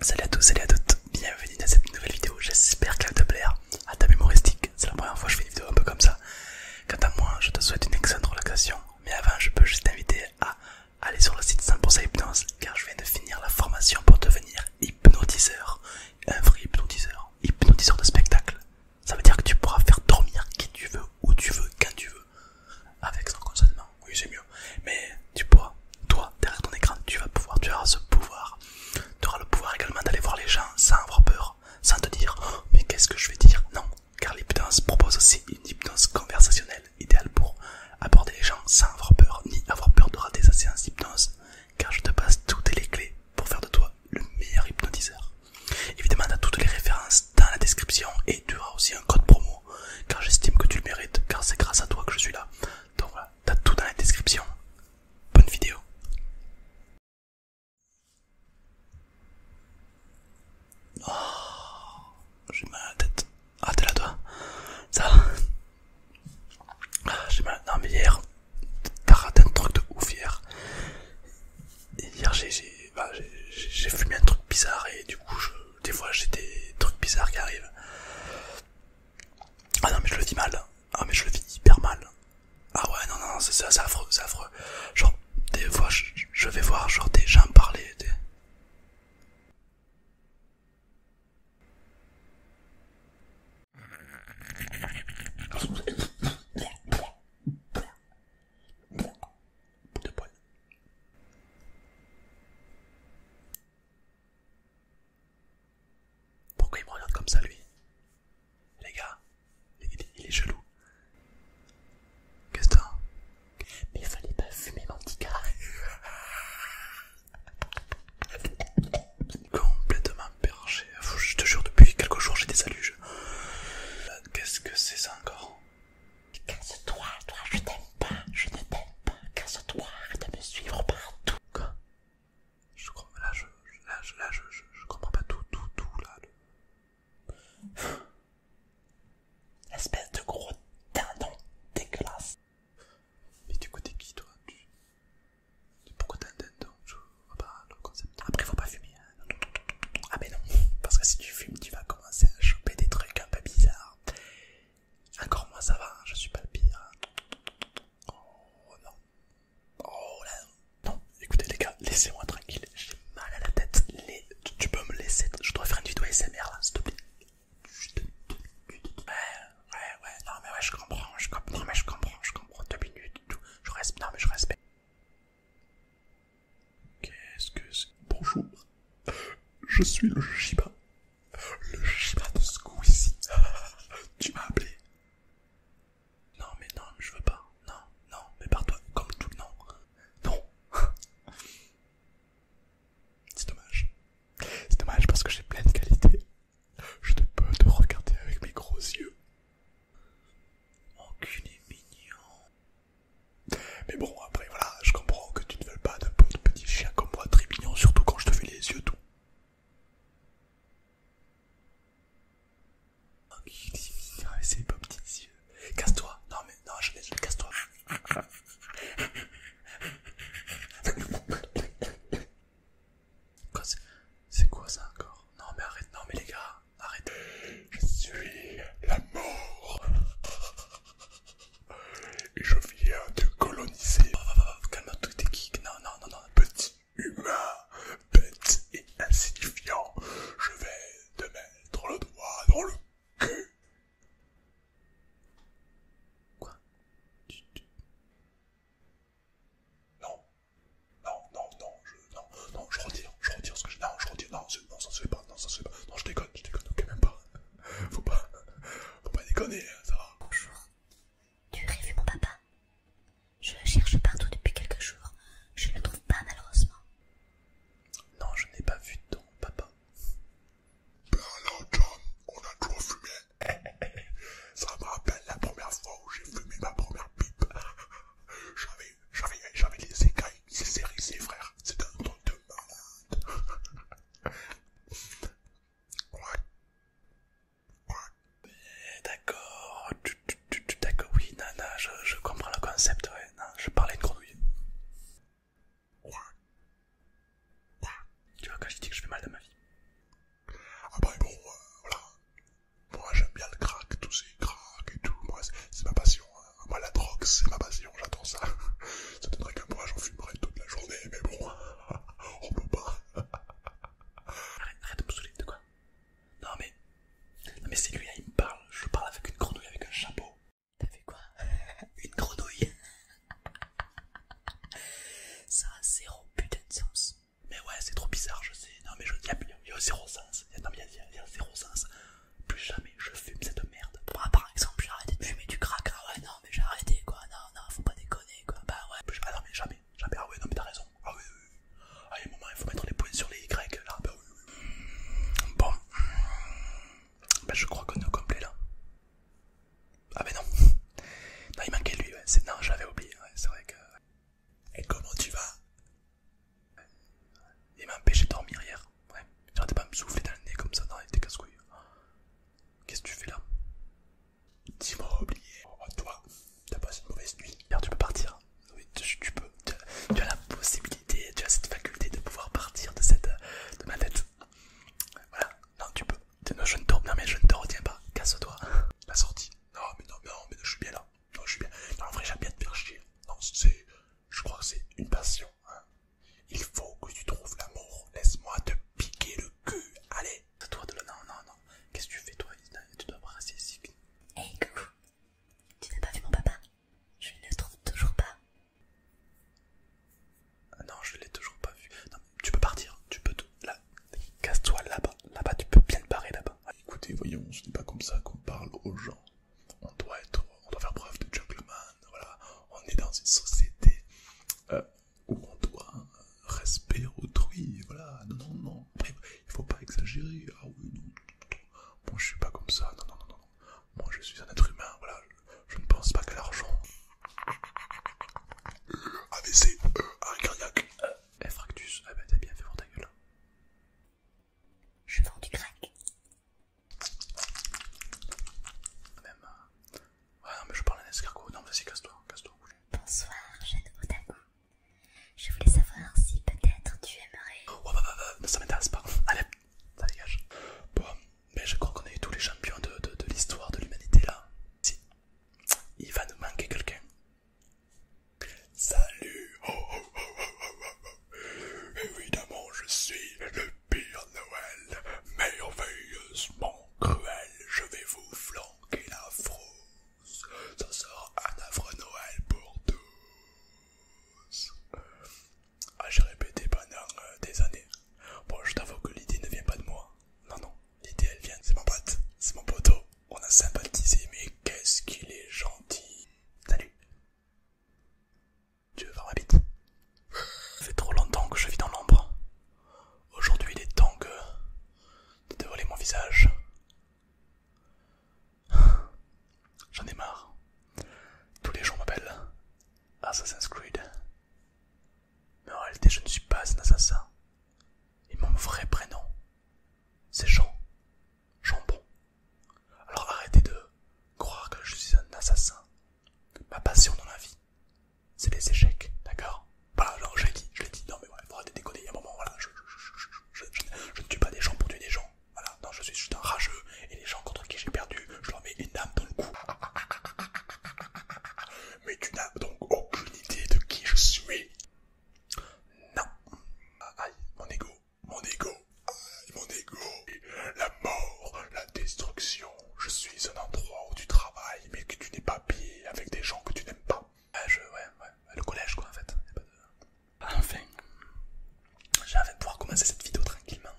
Salut à tous, salut à toutes, bienvenue dans cette nouvelle vidéo, j'espère qu'elle va te plaire. À ta mémoristique, c'est la première fois que je fais une vidéo un peu comme ça. Quant à moi, je te souhaite une excellente relaxation, mais avant je peux juste t'inviter à aller sur le site 100% hypnose car je viens de finir la formation pour devenir hypnotiseur, un vrai hypnotiseur, hypnotiseur de spectacle. Ça veut dire que tu pourras faire dormir qui tu veux, où tu veux, quand tu veux. Avec son consentement, oui c'est mieux. Mais tu vois, toi, derrière ton écran, tu vas pouvoir, tu auras ce pouvoir. Tu auras le pouvoir également d'aller voir les gens sans avoir peur, sans te dire oh, mais qu'est-ce que je vais dire Non, car l'hypnose propose aussi une hypnose conversationnelle idéale pour aborder les gens sans avoir peur, ni avoir peur de rater sa séance d'hypnose, car je te passe toutes les clés pour faire de toi le meilleur hypnotiseur. Évidemment, tu as toutes les références dans la description et tu auras aussi un code promo car j'estime que tu le mérites, car c'est grâce à toi que je suis là. Donc voilà, t'as tout dans la description. Bonne vidéo. Oh, j'ai mal à la tête. Ah, t'es là toi Ça ah, J'ai mal. Non, mais hier, t'as raté un truc de ouf hier. Hier, j'ai bah, fumé un truc bizarre et du coup, je des fois j'ai des trucs bizarres qui arrivent. Ah non mais je le dis mal. Ah mais je le dis hyper mal. Ah ouais non non, non c'est affreux, c'est affreux. Genre des fois je, vais voir genre des gens parler de poil. Pourquoi il me regarde comme ça lui Les gars, il, est jaloux. Qu'est-ce que Mais fallait pas fumer mon petit Complètement perché. Je te jure, depuis quelques jours j'ai des alluges euh, Qu'est-ce que c'est ça encore Casse-toi, toi, je t'aime pas, je ne t'aime pas, casse-toi, arrête de me suivre partout. Quoi je, Là, je, là, je, comprends pas tout, tout, tout, là. Le... Espèce de gros dindon dégueulasse. Mais du coup, t'es qui, toi tu... Pourquoi t'as un dindon Je le concept. Après, faut pas fumer, hein. Ah mais non, parce que si tu fumes, tu vas commencer à choper des trucs un peu bizarres. Encore moi ça va, hein, je suis pas le pire. Hein. Oh non. Oh là non. Écoutez les gars, laissez-moi tranquille, j'ai mal à la tête. Tu, peux me laisser, je dois faire une vidéo SMR là, s'il te plaît. Ouais, ouais, ouais, non mais ouais, je comprends, je comprends, mais je comprends, je comprends, deux minutes, tout. je reste, non mais je respecte. Qu'est-ce que c'est Bonjour, je suis le Jiba. Le Shiba de ici. Tu m'as appelé Non, mais non, je veux pas. Non, non, mais par toi, comme tout. le monde non. C'est dommage. C'est dommage parce que j'ai plein de qualités. Je ne peux te regarder avec mes gros yeux. Enculé mignon. Mais bon, après, voilà, je comprends que tu ne veux pas de pauvre petit chien comme moi, très mignon, surtout quand je te fais les yeux doux. mignon, c'est pas petits yeux. Casse-toi, non mais, non, je casse-toi. C'est quoi ça encore Non mais arrête, non mais les gars, arrêtez. Je suis la mort. Et je viens te coloniser. Oh, t'es Non, non, non, non. Petit humain, bête et insignifiant, je vais te mettre le doigt dans le cul. Quoi Non, non, non, non, je, non, non, je retire, je retire ce que je. Non, je retire, non, non ça se fait pas, non, ça se fait pas. Non, je déconne, je déconne, ok, même pas. Faut pas, faut pas déconner, hein, ça va. Bonjour, tu aurais vu mon papa Je le cherche partout depuis quelques jours, je ne le trouve pas malheureusement. Non, je n'ai pas vu ton papa. Ben alors, John, on a toujours fumé. ça me rappelle la première fois où j'ai fumé ma première pipe. J'avais, j'avais les écailles, c'est c'est frère, c'est un truc de malade. ouais. Ouais. D'accord, d'accord, oui, nana, je, je comprends le concept, ouais, non, je parlais de grenouille. Quoi Quoi Tu vois, quand je dis que je fais mal de ma vie. ah bah bon, euh, voilà, moi j'aime bien le crack, tous ces cracks et tout, moi c'est ma passion. Hein. Moi la drogue c'est ma passion, j'attends ça. Ça donnerait qu'un moi j'en fumerais toute la journée, mais bon, on peut pas. Arrête, de me saouler, de quoi Non mais, non mais c'est lui là, hein, il me parle, je parle avec une grenouille avec un chapeau. T'as fait quoi Une grenouille Ça a zéro putain de sens. Mais ouais, c'est trop bizarre, je sais. Non, mais il y, y a zéro sens. Il y, y a zéro sens. Plus jamais je fume cette merde. Bah, par exemple, j'ai arrêté de fumer du crack. Ah ouais, non, mais j'ai arrêté quoi. Non, non, faut pas déconner quoi. Bah ouais. Ah non, mais jamais. Jamais. Ah ouais, non, mais t'as raison. Ah ouais oui, oui. Ah, il y a un moment, il faut mettre les points sur les Y là. Bah oui, Bon. Bah, je crois qu'on est au complet là. Ah, mais non. Non, il manquait lui. Ouais. Non, j'avais oublié. c'est vrai que. Et comment tu vas Il m'a empêché de dormir hier. Ouais, j'arrêtais pas me souffler dans le nez comme ça. Non, il était casse-couille. Qu'est-ce que tu fais là Dis-moi oublié. Oh, toi, t'as passé une mauvaise nuit. Hier, tu peux partir. Oui, tu, peux. as, la possibilité, tu as cette faculté de pouvoir partir de cette de ma tête. Voilà, non, tu peux. Non, je ne te... non mais je ne te retiens pas. Casse-toi. La sortie. Non, mais non, mais non, mais je suis bien là. Non, je suis bien. Non, en vrai, j'aime bien te faire chier. Non, c'est. Je crois que c'est une passion. Hein. Il faut que tu trouves l'amour. Laisse-moi te piquer le cul. Allez. toi de Non, non, non. Qu'est-ce que tu fais, toi Tu dois rester ici. hey, coucou. Tu n'as pas vu mon papa Je ne le trouve toujours pas. non, je l'ai toujours pas vu. Non, tu peux partir. Tu peux te... Là, casse-toi là-bas, là-bas tu peux bien te barrer là-bas. Écoutez, voyons, ce n'est pas comme ça qu'on parle aux gens. On doit être, on doit faire preuve de gentleman, voilà. On est dans une société euh, où on doit euh, respecter autrui, voilà. Non, non, non, Il il faut pas exagérer. Ah oui, non, moi je suis pas comme ça, non, non, non, non. Moi je suis un être humain, voilà. Je, je ne pense pas qu'à l'argent. AVC, E, arrêt e, cardiaque, F eh, fractus, ah bah t'as bien fait pour ta gueule. Hein. Je vends du crack. Même. Euh, ouais, non, mais je parle d'un escargot. Non, vas-y, casse-toi, casse-toi. Bonsoir, jeune otaku. Je voulais savoir si peut-être tu aimerais. Oh, bah, bah, bah, bah, ça m'intéresse pas. Allez, ça dégage. Bon, mais je crois qu'on a eu tous les champions de, de, de l'histoire de l'humanité là. Si, il va nous manquer quelqu'un. Salut oh, Évidemment, je suis le pire Noël, merveilleusement cruel. Je vais vous flanquer la frousse. Ça sera un affreux Noël pour tous. Ah, j'ai répété pendant euh, des années. Bon, je t'avoue que l'idée ne vient pas de moi non, non, l'idée elle vient, c'est mon pote, c'est mon poteau. On a sympathisé, mais qu'est-ce qu'il est gentil. Salut. Tu veux voir ma bite Ça fait trop longtemps que je vis dans l'ombre. Aujourd'hui, il est temps que. de dévoiler mon visage. J'en ai marre. Tous les jours m'appellent Assassin's Creed. Mais en réalité, je ne suis pas un assassin. Et mon vrai prénom, c'est Jean. bon Alors arrêtez de croire que je suis un assassin. Ma passion dans la vie, c'est les échecs, d'accord Voilà, Alors je l'ai dit, je l'ai dit, non mais arrêtez de déconner, il y a un moment, voilà, je, ne tue pas des gens pour tuer des gens, voilà, non, je suis juste un rageux, et les gens contre qui j'ai perdu, je leur mets une dame dans le cou. Mais tu n'as donc aucune idée de qui je suis. Non. Aïe, mon ego, mon ego, aïe, mon ego. La mort, la destruction. Je suis un endroit où tu travailles, mais que tu n'es pas bien, avec des gens que tu n'aimes pas. Ah je, ouais, ouais, le collège quoi en fait. Enfin, j'ai Enfin, j'avais pouvoir commencer cette vidéo tranquillement.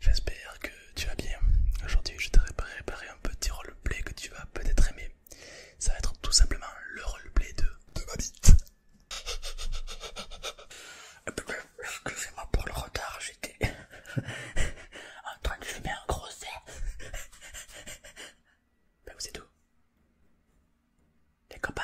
J'espère que tu vas bien. Aujourd'hui, je t'ai préparé un petit roleplay que tu vas peut-être aimer. Ça va être tout simplement le roleplay de, de ma bite. Excusez-moi pour le retard, j'étais en train de fumer un gros C'est Ben vous êtes où Les copains